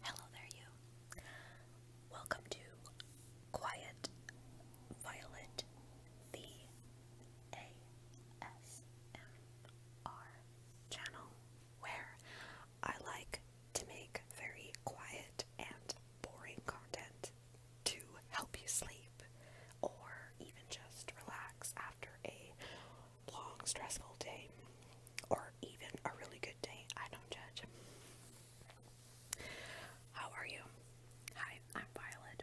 Hello there, you. Welcome to Quiet Violet the ASMR channel where I like to make very quiet and boring content to help you sleep or even just relax after a long, stressful day or even a really good day. I don't judge. How are you? Hi, I'm Violet.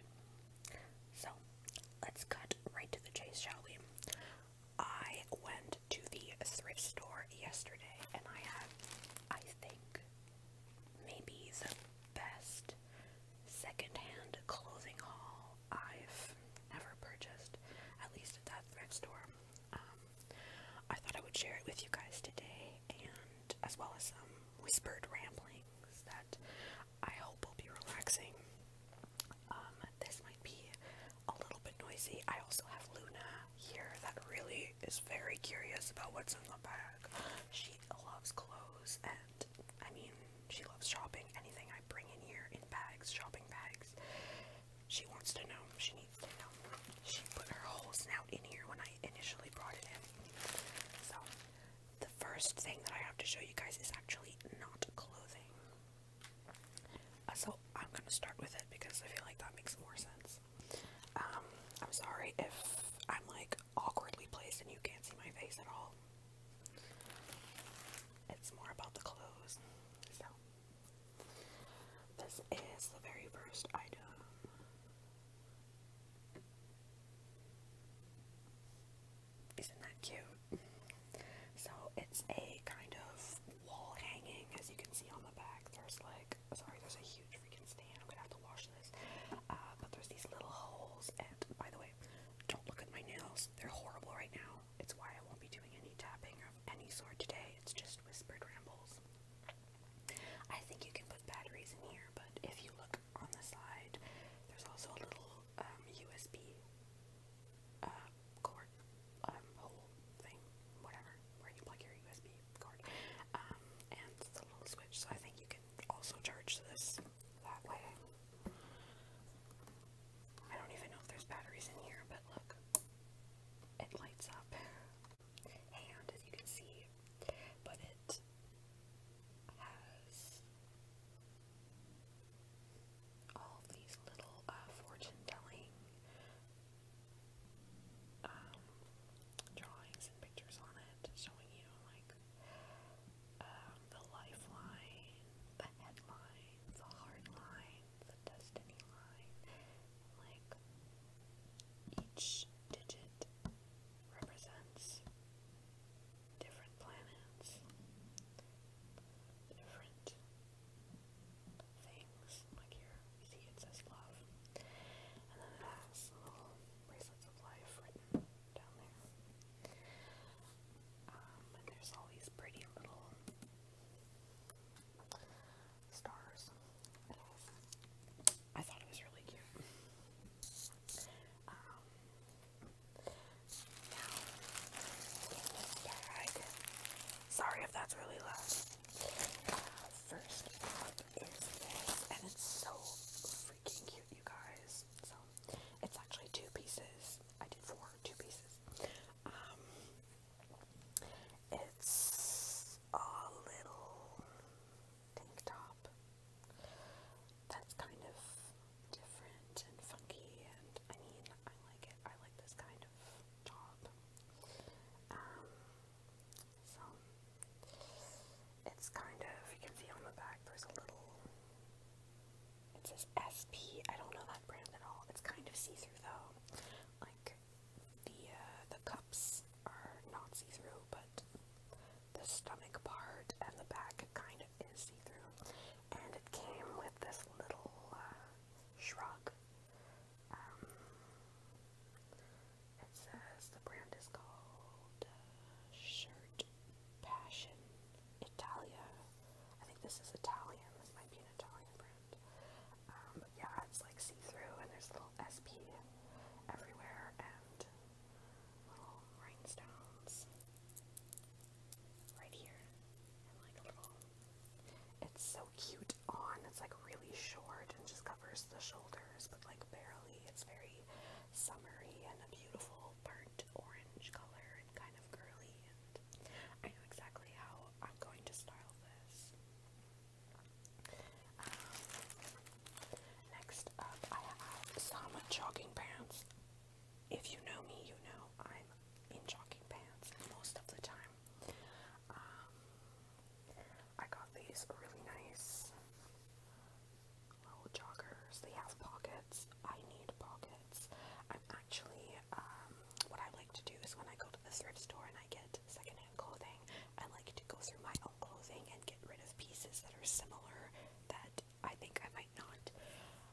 So, let's cut right to the chase, shall we? I went to the thrift store yesterday and I had, I think, maybe the best secondhand clothing haul I've never purchased, at least at that thrift store. Um, I thought I would share it with you guys today, and as well as some whispered ramblings that I hope will be relaxing. Um, this might be a little bit noisy. I also have Luna here that really is very curious about what's in the bag. She loves clothes and I mean, she loves shopping, anything I bring in here in bags, shopping bags. She wants to know. She needs to know. She put her whole snout in here when I initially brought it in. So, the first thing that I have to show you guys is actually not clothing. Uh, so, I'm going to start with it because I feel like that makes more sense. Um, I'm sorry if I'm like awkwardly placed and you can't see my face at all. It's more about the clothes. So, this is the very first item. Isn't that cute? So it's a kind of wall hanging, as you can see on the back. There's like, sorry, there's a huge freaking stain. I'm gonna have to wash this. Uh, but there's these little holes, and by the way, don't look at my nails. They're horrible right now. It's why I won't be doing any tapping of any sort today. It's just whispered rambles. I think you can put batteries in here, but if you look on the side, there's also a little USB um, uh, cord um, thing, whatever, where you plug your USB cord, um, and it's a little switch. So I think you can also charge this that way. I don't even know if there's batteries in here, but look. It lights up. And as you can see, but it has all these little uh, fortune telling um, drawings and pictures on it showing you like um, the lifeline, the headline line, the hard line, the destiny line. Like each digit represents different planets, different things. Like here, you see it says love. And then it has little bracelets of life written down there. Um, there's always pretty little stars. I thought it was really cute. Um, sorry if that's really loud. Uh, first up is this, and it's so freaking cute, you guys. So, it's actually two pieces. I did four, two pieces. Um, it's a little tank top that's kind of different and funky, and I mean, I like it. I like this kind of top. Um, so it's kind of you can see on the back there's a little it says SP. I don't know that brand at all. It's kind of see-through though. Like the uh, the cups are not see-through, but the stomach part and the back kind of is see-through. And it came with this little uh, shrug. Um, it says the brand is called uh, Shirt Passion Italia. I think this is Italian. This might be an Italian brand. Um, but yeah, it's like see-through, and there's little SP everywhere, and little rhinestones right here, It's so cute on. It's like really short and just covers the shoulders, but like barely. It's very summery and a beautiful burnt orange color and kind of girly I know exactly how I'm going to style this. Um, next up I have some jogging pants. If you know me, you know I'm in jogging pants most of the time. Um, I got these really nice little joggers. They have pockets. I need pockets outfits. I'm actually, um, what I like to do is when I go to the thrift store and I get secondhand clothing, I like to go through my own clothing and get rid of pieces that are similar that I think I might not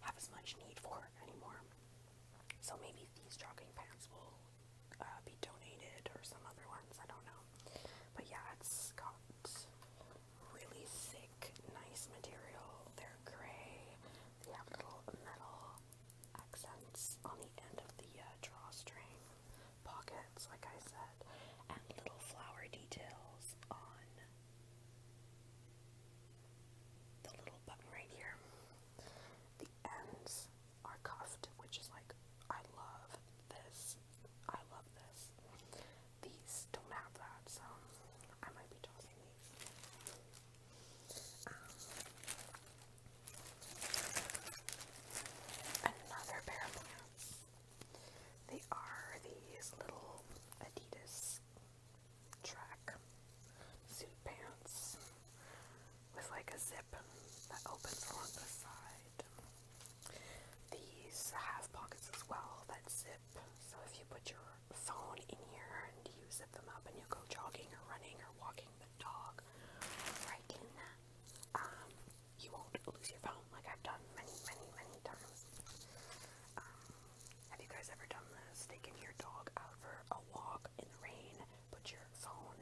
have as much need for anymore. So maybe these jogging pants will uh, be donated or some other ones, I don't know. But yeah, it's got really thick, nice material. They're gray. They have little metal accents on the end of the uh, drawstring pockets, like I said, and little flower details on the little button right here. The ends are cuffed, which is like, I love this. I love this. These don't have that, so I might be tossing another pair of pants. They are these little Adidas track suit pants with like a zip that opens along the side. These have pockets as well that zip zip. So if you put your phone in here and you zip them up and you go jogging or running or walking the dog right in that, um, you won't lose your phone like I've done many, many, many times. Um, have you guys ever done this? Taking your dog out for a walk in the rain, put your phone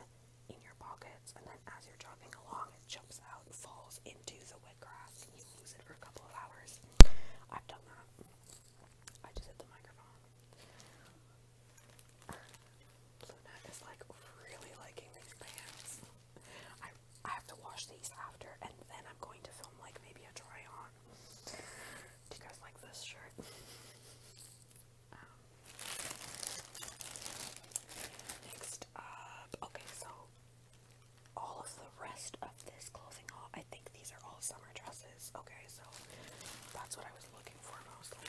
in your pockets, and then as you're jogging along, it jumps out and falls into the wet grass, and you lose it for a couple of hours. I've done that. I just the microphone. Luna is like really liking these pants. I I have to wash these after and then I'm going to film like maybe a try on. Do you guys like this shirt? Um, next up, okay, so all of the rest of this clothing haul. I think these are all summer dresses. Okay, so that's what I was looking for mostly.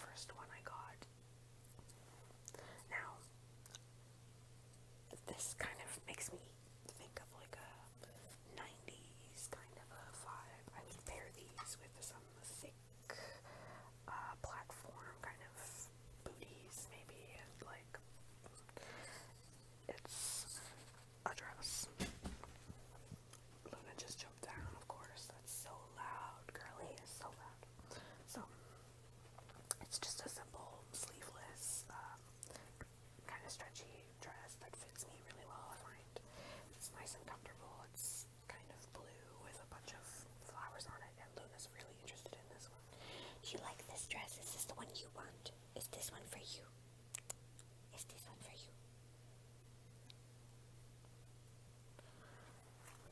First one I got. Now, this kind of makes me think of like a 90s kind of a vibe. I would pair these with some thick uh, platform kind of booties, maybe. like, it's address. Luna just jumped down, of course. That's so loud. Girly is so loud. So, it's just a simple, sleeveless, um, kind of stretchy dress that fits me really well, I find. It's nice and comfortable. It's kind of blue with a bunch of flowers on it, and Luna's really interested in this one. You like this dress? Is this the one you want? Is this one for you? Is this one for you?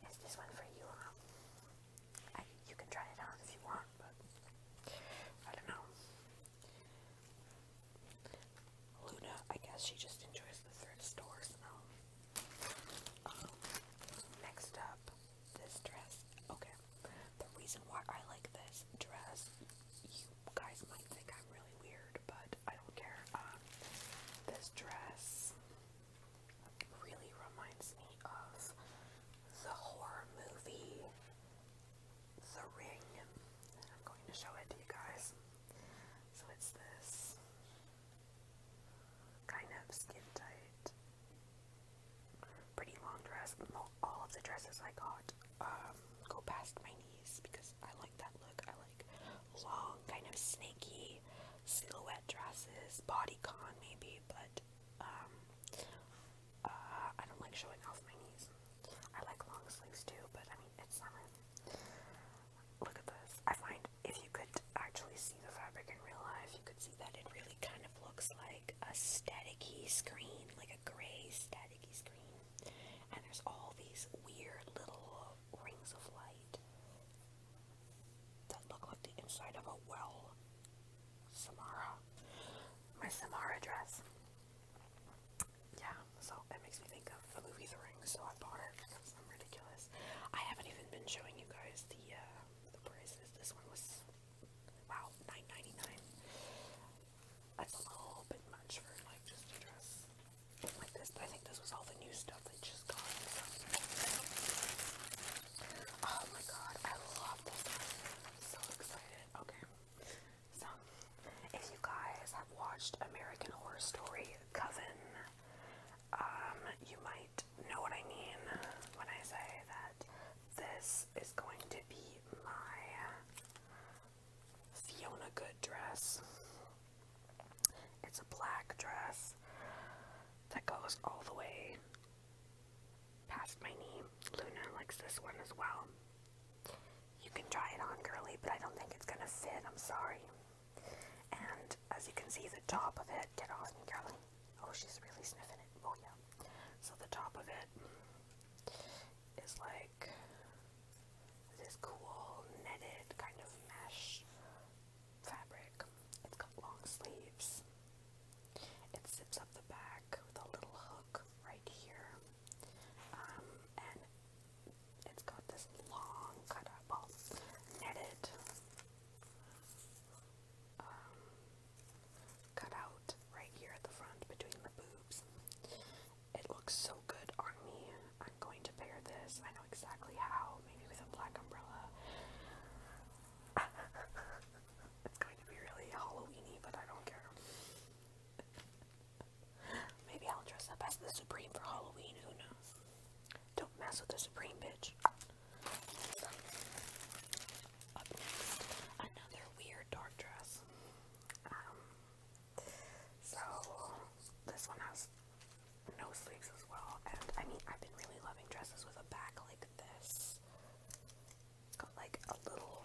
Is this one for you? you can try it on if you want, but I don't know. Luna, I guess she just enjoys the thrift store um, next up, this dress. Okay, the reason why I like this dress, you guys might think I'm really weird, but I don't care. Um, this dress really reminds me of the horror movie The Ring. And I'm going to show it to you guys. So it's this kind of skin tight pretty long dress. All of the dresses I got um, go past my knees because I like that look. I like long, kind of snaky silhouette dresses, bodycon maybe, but um, uh, I don't like showing off my knees. I like long sleeves too, but I mean, it's summer. Look at this. I find if you could actually see the fabric in real life, you could see that it really kind of looks like a staticky screen, like a gray staticky screen, and there's all these weird little rings of light that look like the inside of a well. Samara, my Samara dress. Yeah, so it makes me think of the movie The Ring, so I bought it because I'm ridiculous. I haven't even been showing you guys the uh, the prices. This one was Wow, nine ninety nine. That's a little bit much for like just a dress like this. But I think this was all the new stuff that just got. Oh my god, I love this one. I'm so excited. Okay. So if you guys have watched American Horror Story Coven, um, you might know what I mean when I say that this is going to be my Fiona Good dress. It's a black dress that goes all the way past my knee. Luna likes this one as well. You can try it on, girly, but I don't think it's gonna fit. I'm sorry. And as you can see, the top of it, get off me, girly. Oh, she's really sniffing it. Oh, yeah. So the top of it it's like this cool netted kind of mesh fabric. It's got long sleeves. It zips up the back with a little hook right here. Um, and it's got this long cut up, all netted um, cut out right here at the front between the boobs. It looks so good on me. I'm going to pair this. I know exactly how. Maybe with a black umbrella. it's going to be really Halloweeny, but I don't care. Maybe I'll dress up as the Supreme for Halloween. Who knows? Don't mess with the Supreme, bitch. Up next, another weird dark dress. Um, so this one has no sleeves as well, and I mean I've been really loving dresses with a back like this. It's got like a little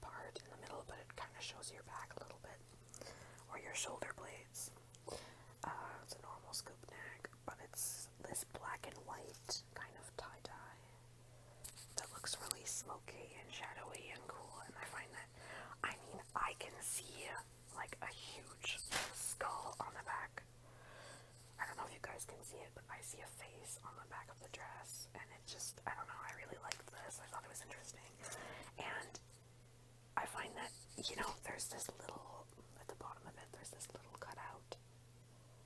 part in the middle, but it kind of shows your back a little bit, or your shoulder blades. Uh, it's a normal scoop neck, but it's this black and white kind of tie-dye that looks really smoky and shadowy and cool, and I find that, I mean, I can see, like, a huge skull on the back. I don't know if you guys can see it, but I see a face on the back of the dress, and it just, I don't know, I really liked this, I thought it was interesting, and I find that, you know, there's this little, at the bottom of it, there's this little cutout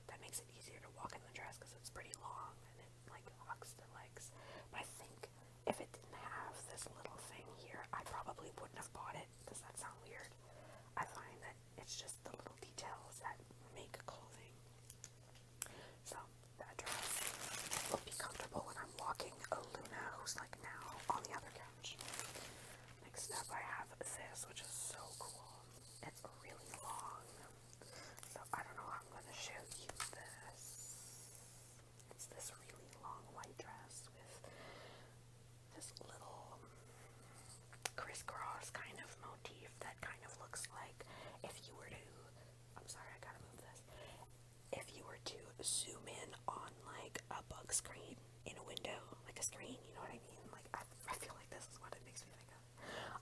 that makes it easier to walk in the dress because it's pretty long and it like locks the legs. But I think if it didn't have this little thing here, I probably wouldn't have bought it. Does that sound weird? I find that it's just the little details that make clothing. So that dress will be comfortable when I'm walking a oh, Luna who's like now on the other couch. Next up I have this which is so cool. It's really long so I don't know I'm going to show you this. It's this really long white dress with this little crisscross kind of motif that kind of looks like if you were to, I'm sorry, I gotta move this. If you were to zoom in on like a bug screen in a window, like a screen, you know what I mean? Like I feel like this is what it makes me think of.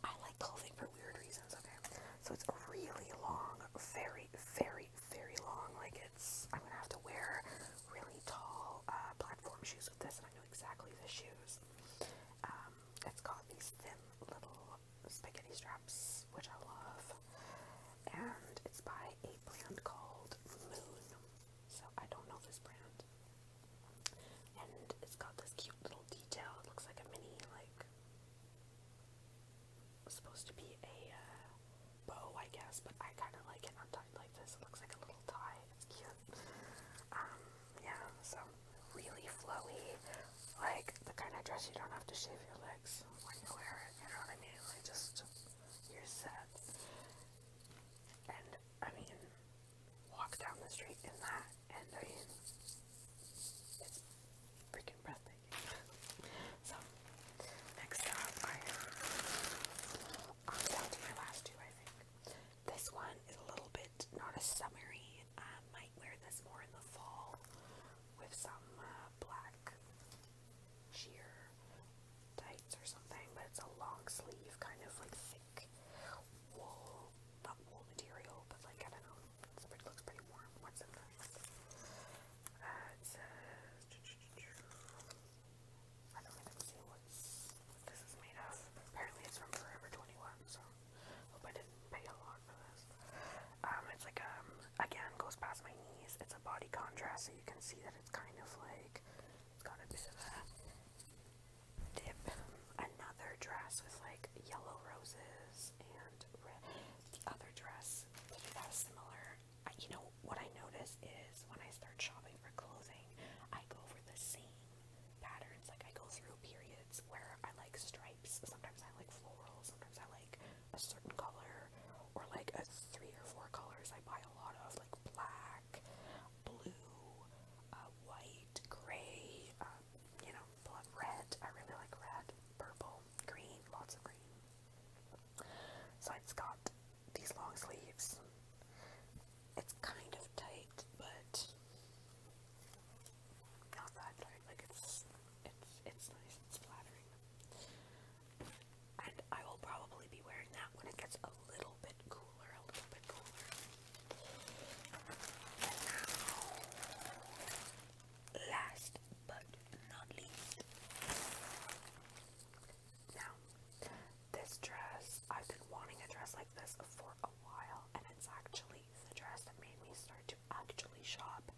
I like clothing for weird reasons, okay? So it's really long, very, very, very long. Like it's, I'm gonna have to wear really tall uh, platform shoes with this, and I know exactly the shoes. Um, it's got these thin little spaghetti straps, which I love, and it's by a brand called Moon. So I don't know this brand, it. And it's got this cute little detail. It looks like a mini, like, supposed to be a uh, bow, I guess, but I kind of like it untied like this. It looks like a little tie. It's cute. Um, yeah, so really flowy, like the kind of dress you don't have to shave your legs when you wear it. You know what I mean? Like just you're set. And I mean, walk down the street in that, and I mean, freaking breathtaking. so, next up, I have, um, to my last two, I think. This one is a little bit not as summery. I um, might wear this more in the fall with some uh, black sheer tights or something, but it's a long sleeve, kind of like wool, not wool material, but like I don't know, it's, it looks pretty warm. What's in this? Uh, it says, I don't even see what this is made of. Apparently, it's from Forever 21, so hope I didn't pay a lot for this. Um, it's like, um, again, goes past my knees. It's a body contrast, so you can see that it's kind of like, got a bit of a dip another dress with like yellow roses and The other dress that is similar. I, you know what I notice is when I start shopping for clothing, I go for the same patterns. Like I go through periods where I like stripes. Sometimes I like floral. Sometimes I like a certain color or like a three or four colors. I buy a lot of like black blue, uh, white, gray, um, you know, red. I really like red, purple, green, lots of green. So it's got these long sleeves. It's kind of tight, but not Like it's it's it's nice. It's flattering. And I will probably be wearing that when it gets a little last but not least, now this dress, I've been wanting a dress like this for a while, and it's actually the dress that made me start to actually shop.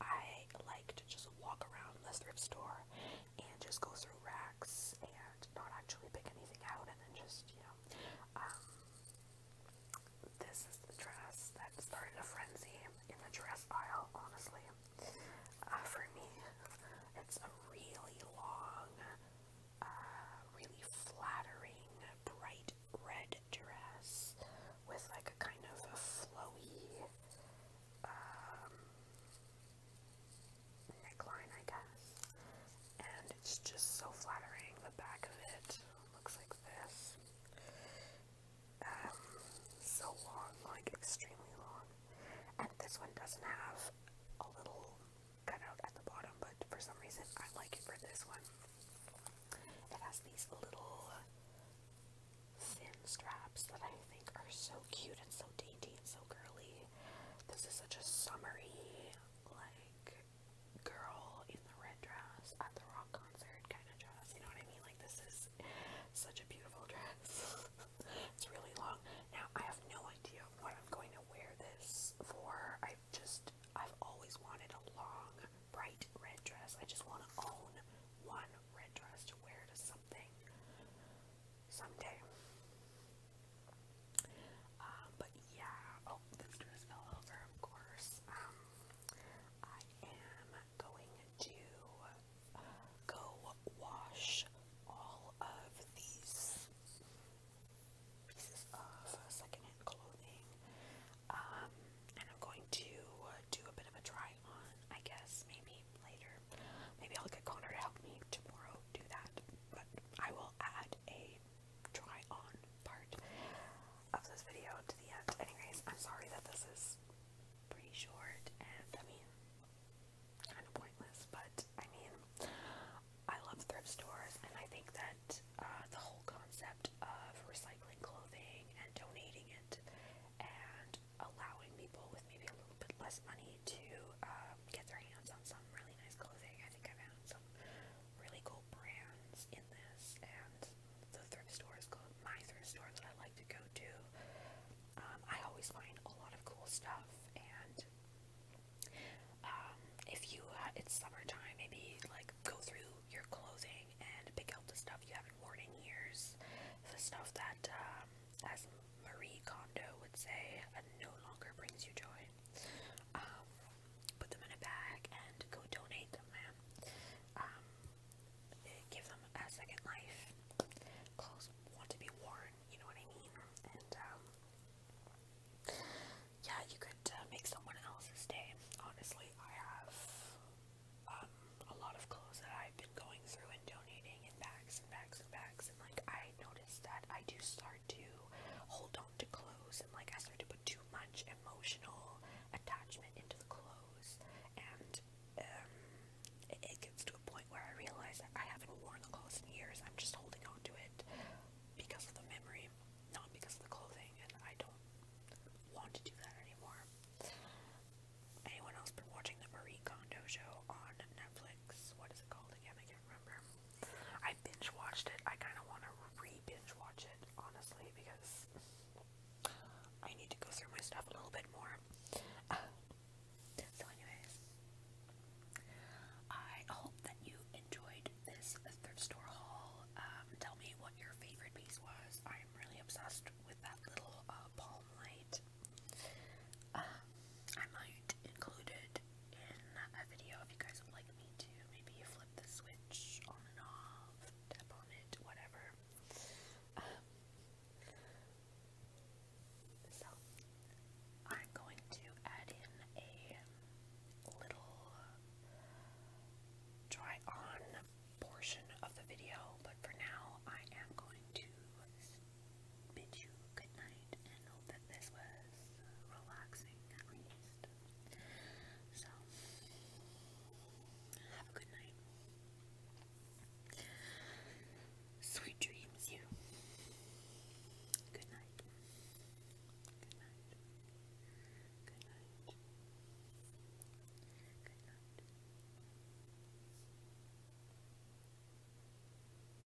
I like to just walk around the thrift store and just go through racks and not actually pick anything out and then just, you know, um, this is the dress that started a frenzy in the dress aisle, honestly. Uh, for me, it's a really long, uh, really flattering, bright red dress with like a kind of a flowy, um, neckline, I guess. And it's just so flattering. The back of it looks like this. Um, so long, like extremely long. And this one doesn't have a little cutout at the bottom, but for some reason I like it for this one. It has these little thin straps that I think are so cute and so dainty and so girly. This is such a summery, like like girl in the red dress at the rock concert kind of dress. You know what I mean? Like this is such a beautiful dress. it's really long. Now I have no idea what I'm going to wear this for. I've just I've always wanted a long, bright red dress. I just want to own one red dress to wear to something someday. Uh, but yeah, oh, this dress fell over, of course. Um, I am going to go wash all of these pieces of secondhand clothing. Um, and I'm going to do a bit of a try on, I guess, maybe later. Maybe I'll get Connor to help me tomorrow do that. But I will add a try on part of this video to the end. Anyways, I'm sorry that this is pretty short and I mean kind of pointless, but I mean I love thrift stores and I think that uh, the whole concept of recycling clothing and donating it and allowing people with maybe a little bit less money need to um, get their hands on some really nice clothing. I think I found some really cool brands in this, and the thrift store is called my thrift store that I like to go to. Um, I always find a lot of cool stuff, and um, if you, uh, it's summertime, maybe like go through your clothing and pick out the stuff you haven't worn in years, the stuff that, um, as Marie Kondo would say, uh, no longer brings you joy sorry. Um, put them in a bag and go donate them, man. Um, give them a second life. Clothes want to be worn, you know what I mean? And, um, yeah, you could uh, make someone else's day. Honestly, I have, um, a lot of clothes that I've been going through and donating in bags and bags and like I noticed that I do start to hold on to clothes and like I start to put too much emotional attachment into the clothes and um, it, gets to a point where I realize that I haven't worn the clothes in years. I'm just holding on to it because of the memory, not because of the clothing and I don't want to do that anymore. Anyone else been watching the Marie Kondo show on Netflix? What is it called again? I can't remember. I binge watched it. I kind of want to re binge watch it, honestly, because I need to go through my stuff a little bit more. so, anyways, I hope that you enjoyed this thrift store haul. Um, tell me what your favorite piece was. I'm really obsessed with that little uh, palm light. Um, I might include it in a video if you guys like me to maybe flip the switch on and off, tap on it, whatever. Um, so, I'm going to add in a little try on portion of the video, but for now I am going to bid you good night and hope that this was relaxing at least. So, have a good night. Sweet dreams, you. Good night. Good night. Good night. Good night.